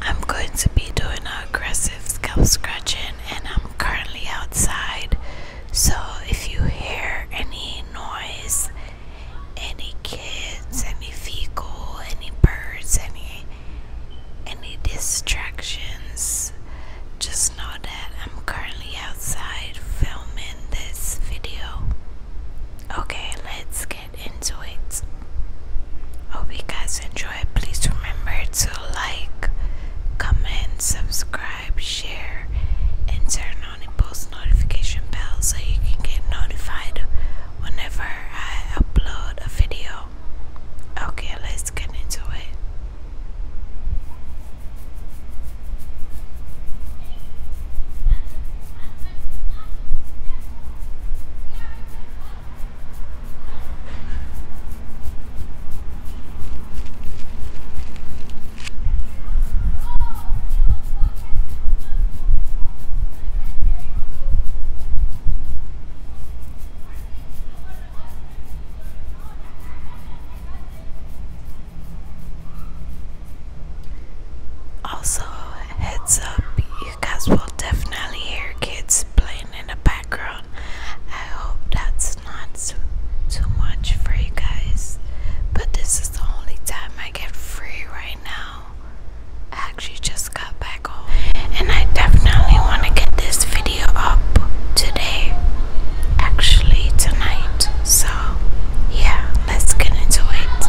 I'm going to be doing an aggressive scalp scratching and I'm currently outside so if you hear any noise, any kids, any vehicle, any birds, any any distractions, just know that I'm currently outside filming this video. Okay, let's get into it. Hope you guys enjoy. Please remember to like, comment, subscribe, share, and turn on the post notification bell so you can get notified whenever I upload a video. Okay, let's get into it. Also, heads up, you guys will definitely hear kids playing in the background. I hope that's not too, much for you guys, but this is the only time I get free right now. actually just got back home, and I definitely want to get this video up today, actually, tonight. So, yeah, let's get into it.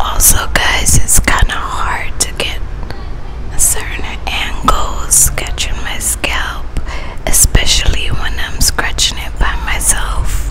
Also, guys, it's kind of hard to get certain angles catching my scalp, especially when I'm scratching it by myself.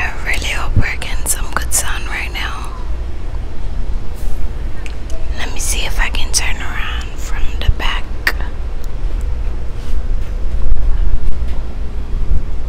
I really hope we're getting some good sound right now. Let me see if I can turn around from the back.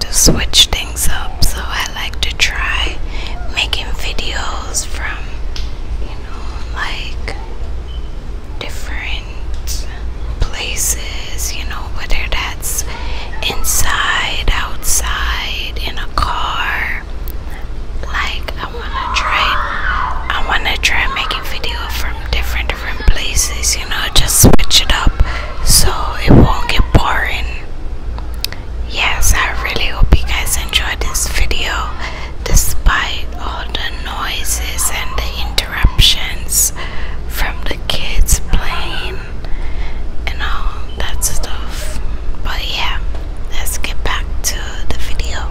to switch things up so I like to try making videos from you like different places, you know, whether that's inside, outside, in a car. Like I wanna try I wanna try making video from different different places, you know, just switch it up so it won't get boring yes i really hope you guys enjoyed this video despite all the noises and the interruptions from the kids playing and all that stuff but yeah let's get back to the video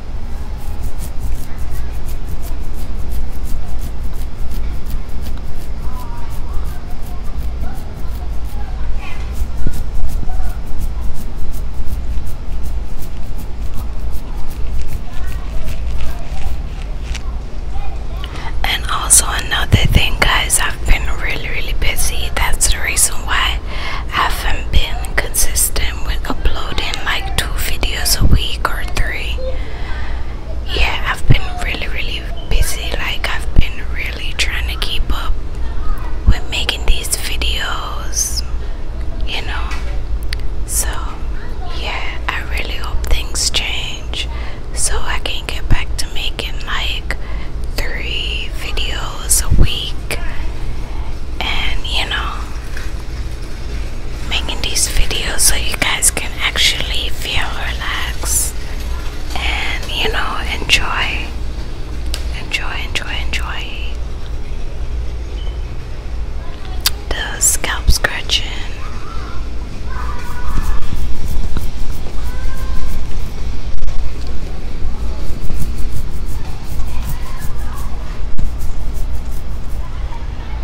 And also another thing guys, I've been really really busy. That's the reason why I haven't been consistent I'm uploading like two videos a week or three. Yeah, I've been really, really busy. Like, I've been really trying to keep up with making these videos, you know. So, yeah, I really hope things change so I can get back to making like three videos a week and you know making these videos so you guys can actually feel relaxed and you know enjoy enjoy enjoy enjoy the scalp scratching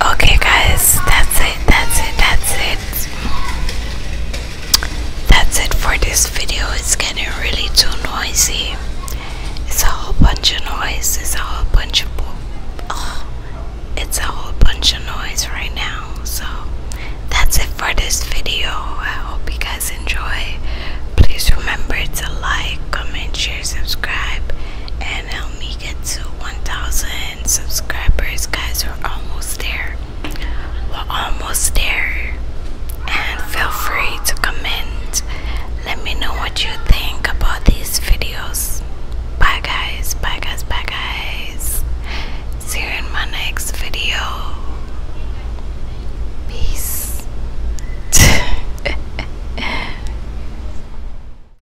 Okay, guys, that's it, that's it, that's it. That's it for this video. It's getting really too noisy. It's a whole bunch of noise. It's a whole bunch of oh, it's a whole bunch of noise right now. So that's it for this video. I hope you guys enjoy. Please remember to like, comment, share, subscribe, and help me get to 1,000 subscribers, guys. We're almost there. We're almost there. And feel free to comment. Let me know what you think about these videos. Bye, guys. Bye, guys. Bye, guys. See you in my next video. Peace.